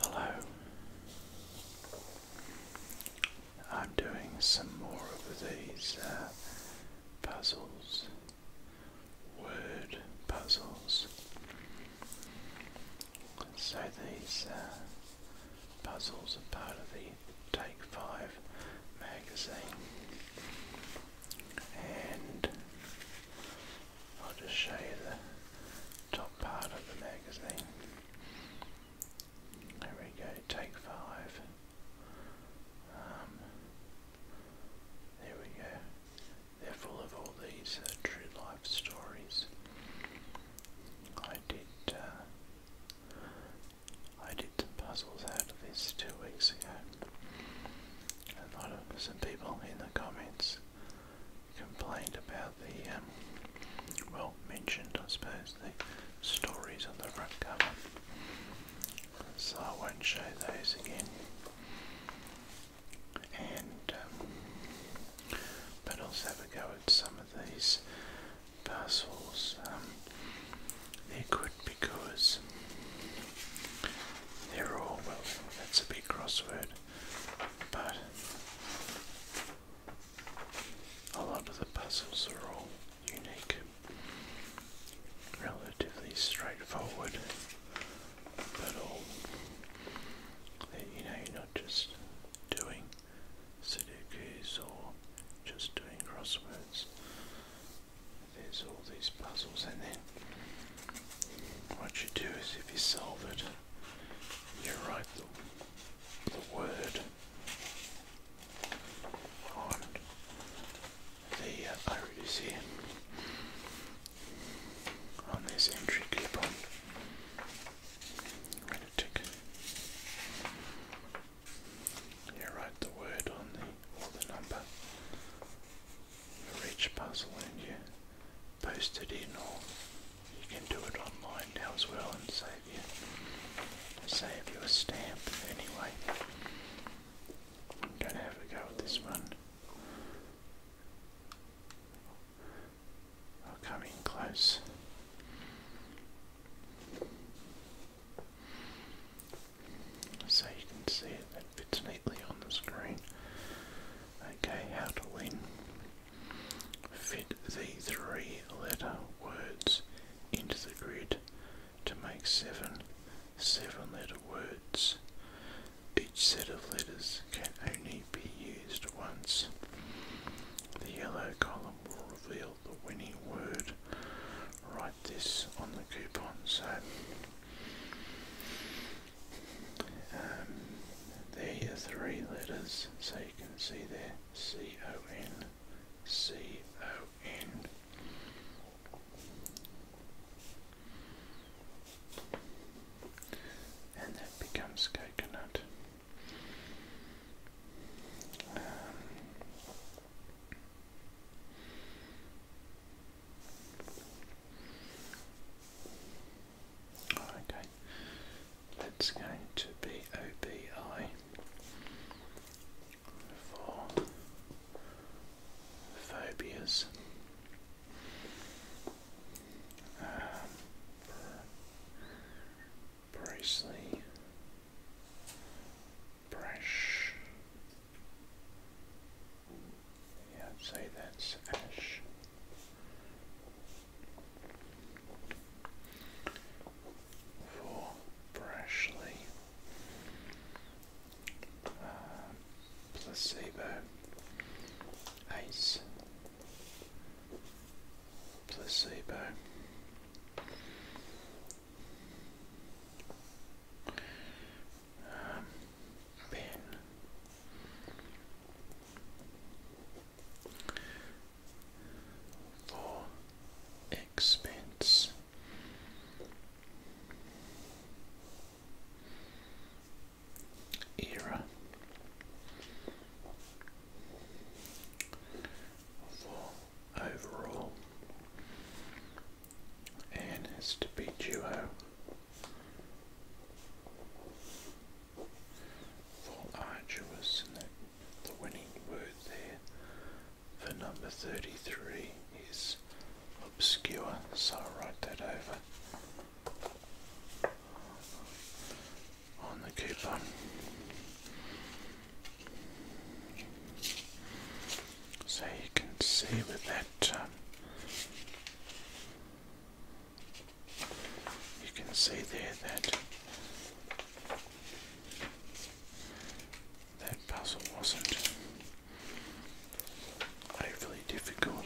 Hello. I'm doing some more of these uh, puzzles, word puzzles. So these uh, puzzles are part of the Take Five magazine, and I'll just show you the top part of the magazine. There we go, take five. Um, there we go. They're full of all these uh, true life stories. I did, uh, I did some puzzles out of this two weeks ago. A lot of some people in the comments complained about the, um, well, mentioned, I suppose, the stories on the front cover. So I won't show those again. And, um, but also have a go at some of these parcels. Um, they're good because they're all well. That's a big crossword. But a lot of the puzzles are all unique, relatively straightforward, but all you know, you're not just doing Sudokus or just doing crosswords. There's all these puzzles, and then what you do is if you solve it, you write the, word on the uh, oh, on this entry clip-on. When it tick, you write the word on the, or the number for each puzzle and you post it in or you can do it online now as well and save you save you a stamp anyway. I'm gonna have a go at this one. I'll come in close. So you can see it it fits neatly on the screen. Okay, how do we Fit the three letter words into the grid to make seven seven letter words. Each set of letters can only be used once. The yellow column will reveal the winning word. Write this on the coupon. So um, there are three letters, so you can see there C-O-N, C-O-N. And that becomes coconut. Um, Okay, that's going to be OBI for phobias. Um, Bracely, yeah, i say that's ash. For Brashly. Uh, placebo. Ace. Placebo. Um, Bene. For expense. Era for overall and has to be duo for arduous and the, winning word there for number 33 is obscure so I'll write that over on the coupon. So you can see with that um, you can see there that that puzzle wasn't overly difficult.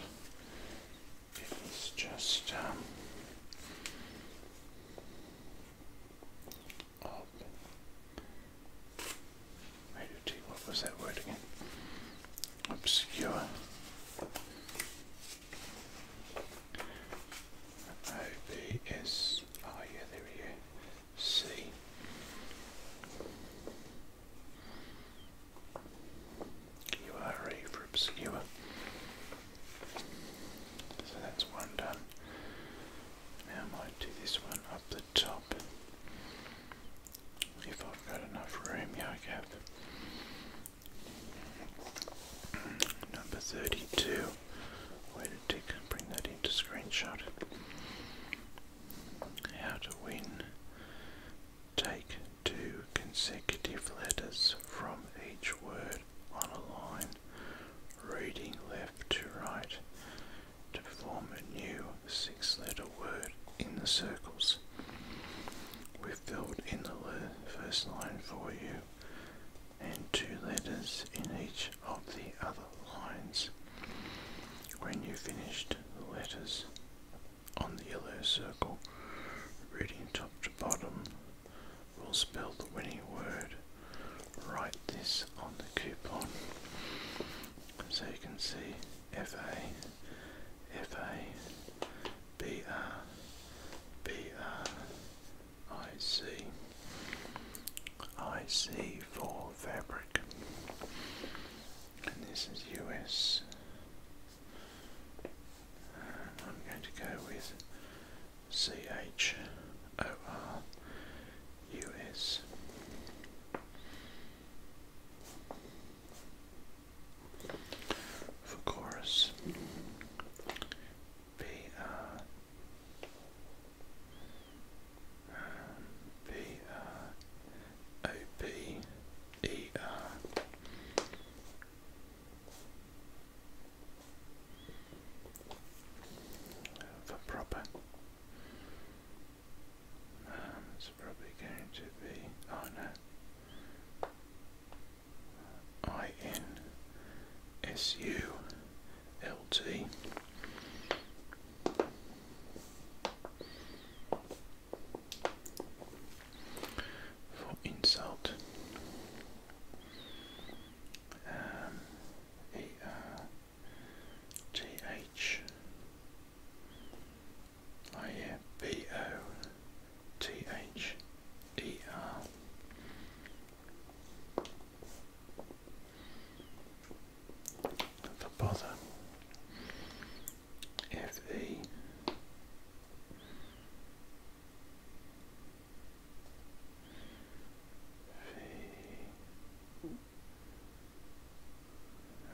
It just um, Radio what was that word again? Obscure. OBS. Oh, yeah, there we go. C. for obscure. So that's one done. Now I might do this one up there top. If I've got enough room, yeah, I have. Number 32. Where to tick bring that into screenshot. How to win. Take two consecutive letters from each word on a line, reading left to right, to form a new six letter word in the circles. We've filled in the first line for you and two letters in each of the other lines. When you have finished the letters on the yellow circle, reading top to bottom, will spell the winning word. Write this on the coupon so you can see F A F A B R B R I C I C for fabric and this is US I'm going to go with C H O R U S for chorus B R B R O B E R for proper um, it's probably going to be. Oh no. Uh, I N S U L T. For insult, um, Oh yeah, B O T H E R. The bother.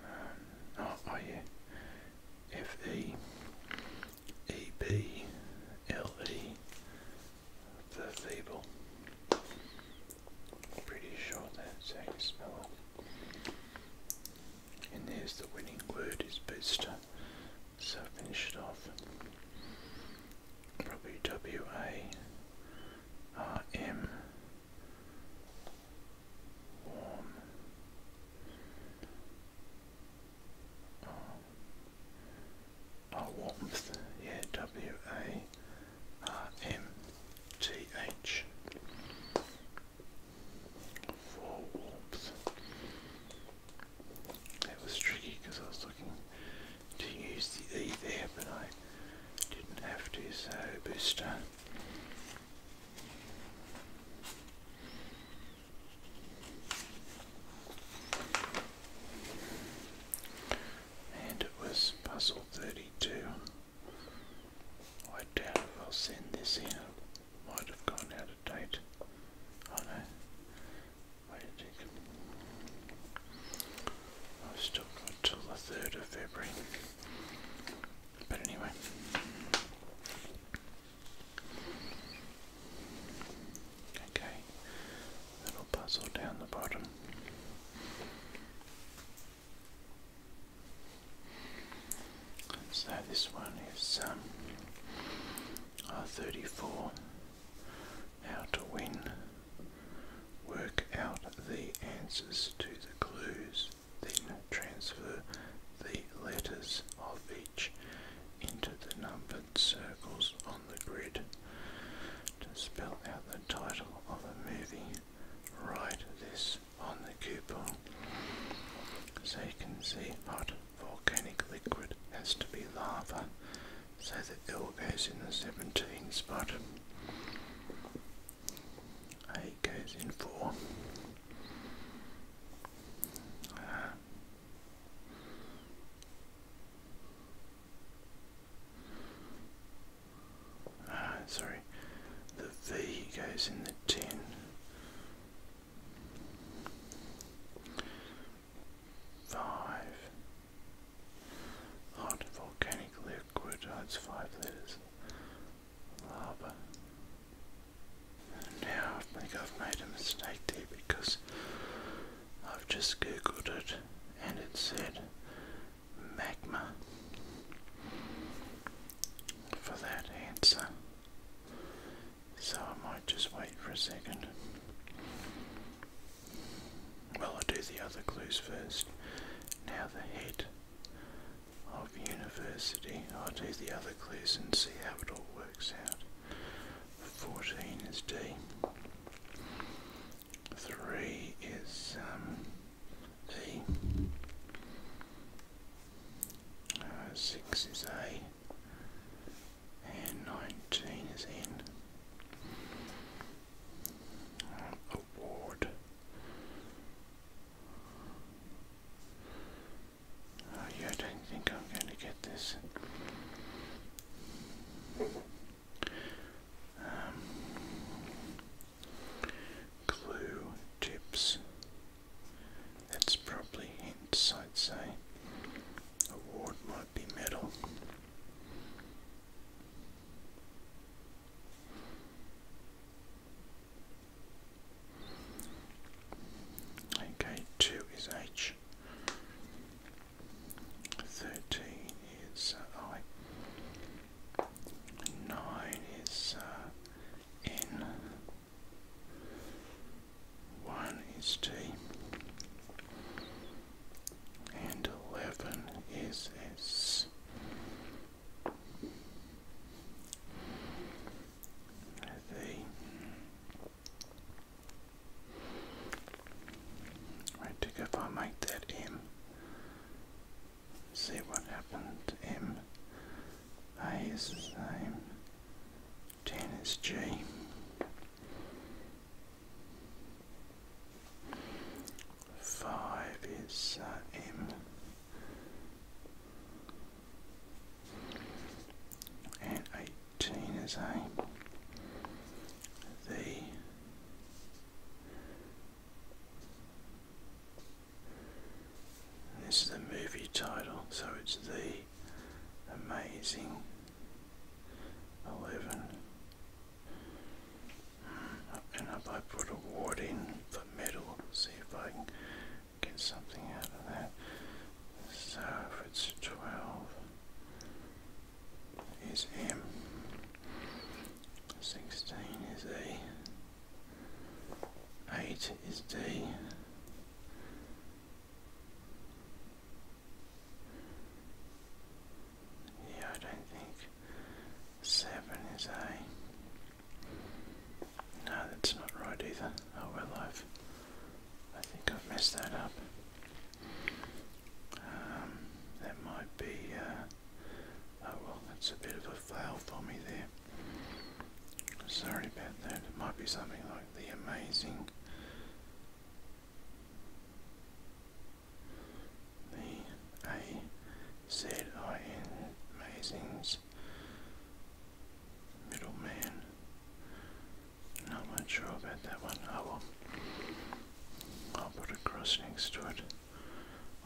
Um, oh, oh yeah. F E E B L E the fable. Pretty sure that's how you And there's the winning word is booster. So I finished off. Probably W A R M warm. Oh, warmth. Yeah, W A R M T H. For warmth. That was tricky because I was looking to use the E there, but I didn't have to, so booster. And it was puzzle 32. I doubt I'll send this in. might have gone out of date. Oh no. Wait a second. I've still got till the 3rd of February. But anyway. Okay. Little puzzle down the bottom. So this one is um, R34 How to Win. Work out the answers to the clues then transfer the letters of each into the numbered circles on the grid. To spell out the title of the movie, write this on the coupon. So you can see hot volcanic liquid has to be lava, so the L goes in the 17 spot. Eight goes in four. Ah. ah, sorry, the V goes in the ten. Five. Hot volcanic liquid. Oh, five letters now I think I've made a mistake there because I've just googled it and it said magma for that answer. So I might just wait for a second. Well, I'll do the other clues first. Now the heat of university. I'll do the other clues and see how it all works out. 14 is D. 3 is um, E. Uh, 6 is A. And 19 is N. Award. Oh, yeah, I don't think I'm going to get this. Um, tips. That's probably hints, I'd say. Award might be metal. Okay, two is H. Thirteen is uh, I. Nine is uh, N. One is T. And eleven is S. I think if I make that M, see what happens. M, A is the same, 10 is G. Five is uh, M and 18 is a the this is the movie title so it's the amazing 11 and up I put a ward in the middle, see if I can get something out of that. So if it's 12 is M, 16 is A. 8 is D, yeah, I don't think 7 is A. No, that's not right either. Oh well, I've. I think I've messed that up. Um, that might be. Uh, oh well, that's a bit of a fail for me there. Sorry about that. It might be something like the amazing the A Z I N oh, Mazing's middleman. Not sure about that one. I will I'll put a cross next to it.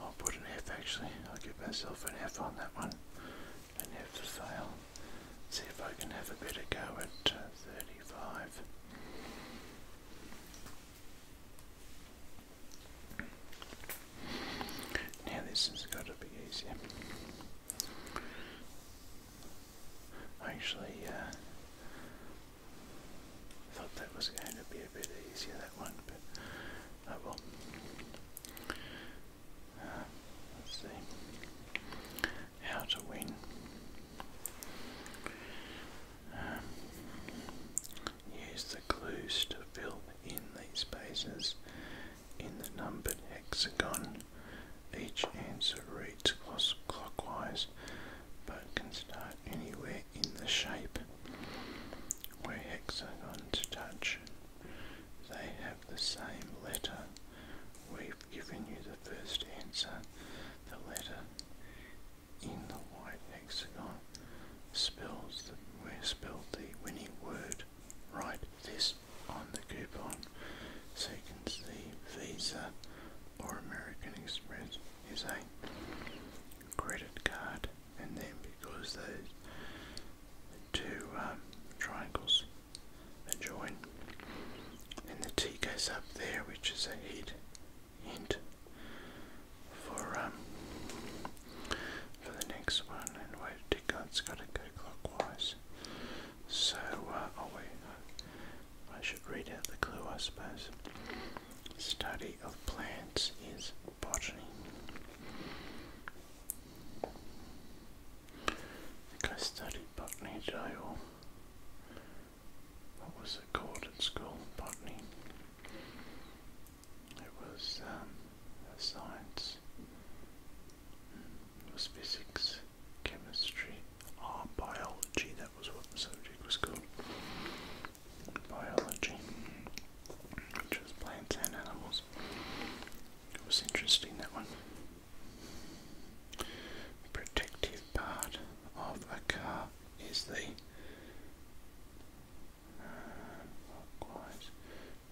I'll put an F actually. I'll give myself an F on that one. An F to fail. See if I can have a better go at uh, 35. Now this has got to be easier. Actually, uh, thought that was going to be a bit easier that one, but I oh will. Uh, let's see how to win. Um, Use the clues to fill in these spaces in the numbered hexagon. Each answer reads clockwise, but can start anywhere in the shape where hexagons touch. They have the same letter. We've given you the first answer, the letter in the white hexagon spells the spelled the winning word. Write this on the coupon. Second, the Visa or American Express is a credit card, and then because those two um, triangles are joined, and the T goes up there, which is a hint. Hint for um for the next one and wait, it did it's gotta go clockwise. So uh oh uh, wait I should read out the clue I suppose. Study of plants is botany. I think I studied botany did I what was it called at school? Botany. It was um, science. Mm, it was physics, chemistry, or biology. That was what the subject was called. Biology, which was plants and animals. It was interesting that one. protective part of a car is the clockwise.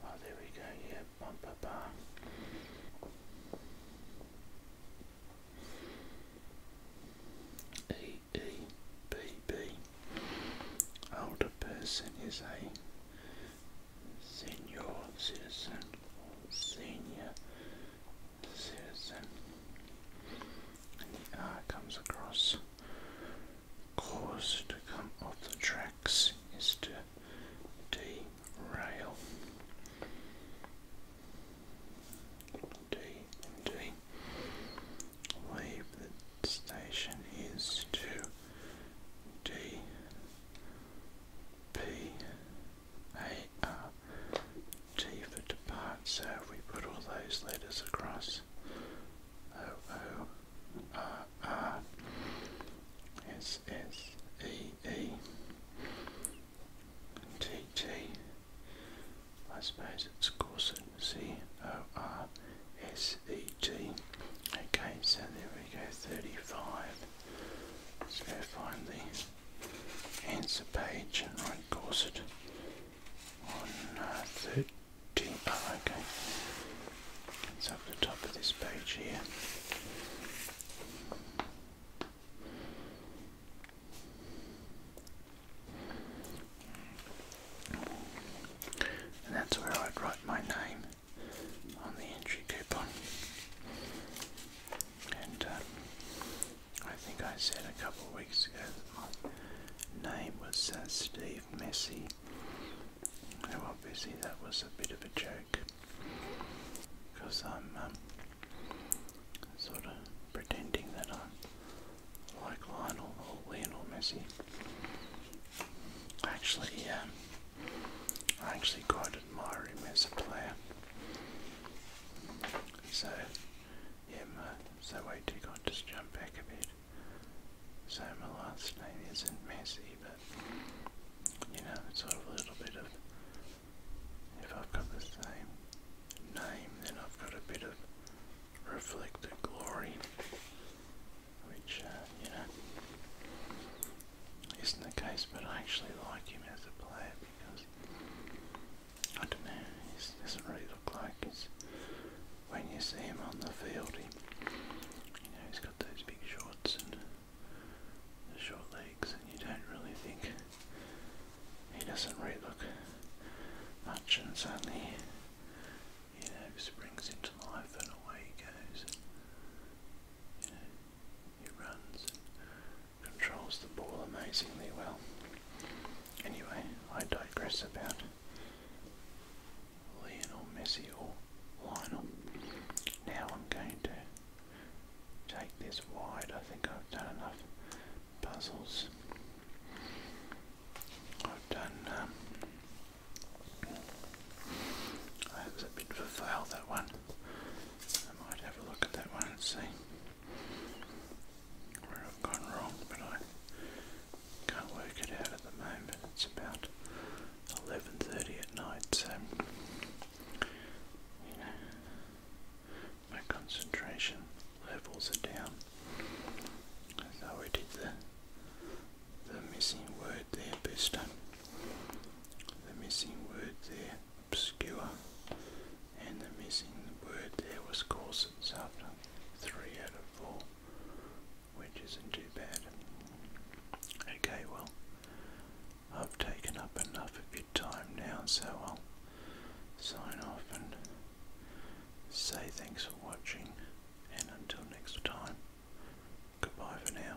Oh, there we go, yeah, bumper bar. E E B B. Older person is a senior citizen senior citizen. Ah, comes across cause to come off the tracks is to derail. D D. Leave the station is to D P A R T for depart. So we put all those letters across, O O R R S S E E T T I suppose it's Corset C O R S E T Okay, so there we go, thirty five. Let's go find the answer page and write Corset on uh, didn't. Oh, okay. Let's have the top of this page here. And that's where I'd write my name on the entry coupon. And uh, I think I said a couple of weeks ago that my name was uh, Steve Steve Messi. Now obviously that was a bit of a joke because I'm um, sort of pretending that I'm like Lionel or Lionel Messi. Actually, um, I actually quite admire him as a player. So, yeah, so wait, you got just jump back a bit. So Milan's name isn't messy, but you know, it's sort of a little bit of if I've got the same name, then I've got a bit of reflected glory, which uh, you know isn't the case. But I actually like him as a player because I don't know, he doesn't really look like is when you see him on the field, he, you know, he's got those big shorts and the short legs, and you don't really think he doesn't really look much, and suddenly, you know, springs into life, and away he goes. And, you know, he runs and controls the ball amazingly well. Anyway, I digress about Lionel Messi or Lionel. Now I'm going to take this wide. I think I've done enough puzzles. I've done. Um, that a bit of a fail, that one. I might have a look at that one and see where I've gone wrong, but I can't work it out at the moment. It's about 11.30 at night, so, my concentration levels are down. So we did the, the missing word there, booster. The missing word there, obscure. And the missing word there was corsets after three out of four which isn't too bad. Okay, well, I've taken up enough of your time now, so I'll sign off and say thanks for watching, and until next time, goodbye for now.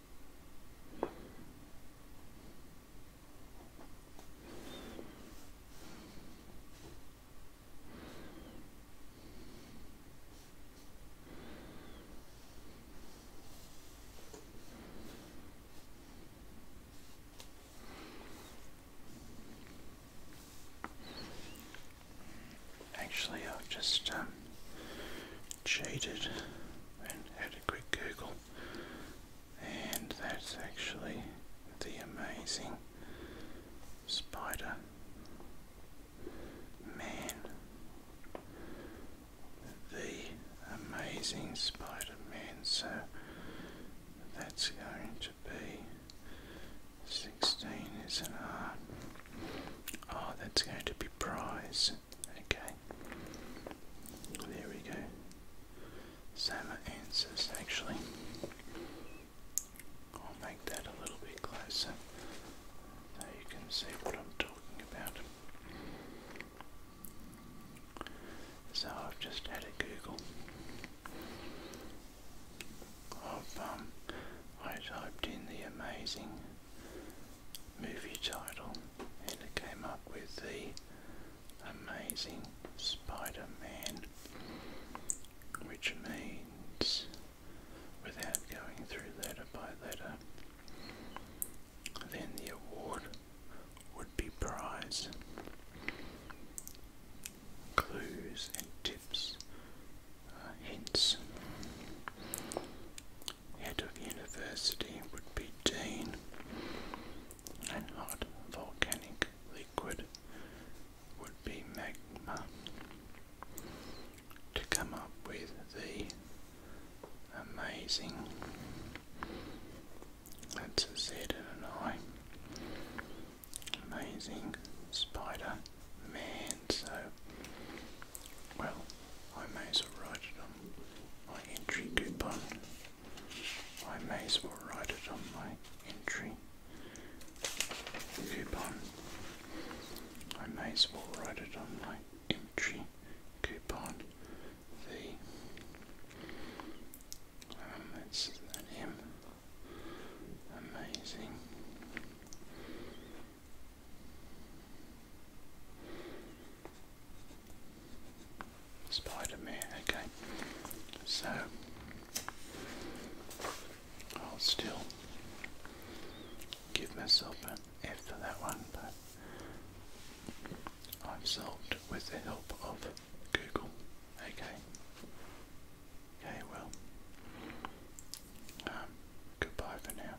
Actually, I've just um, cheated and had a quick Google and that's actually the amazing Spider Man. The amazing Spider Man. So that's going to be 16 is an R. Oh, that's going to be prize. Okay. There we go. Sama answers actually. I'll make that a little bit closer so you can see what I'm talking about. So I've just had a Google um, I typed in the amazing movie title, and it came up with the Amazing Spider-Man, which means, without going through letter by letter, then the award would be prize. Clues and tips, uh, hints Head of university would be Dean, and hot volcanic liquid would be magma. To come up with the amazing, that's a Z and an I, amazing Spider Man. So, well, I may as well write it on my entry coupon. I may as well write it on my entry coupon. I may as well write it on my entry coupon. The um, an M. Amazing spider okay. So, I'll still give myself an F for that one, but I've solved with the help of Google, okay. Okay, well, um, goodbye for now.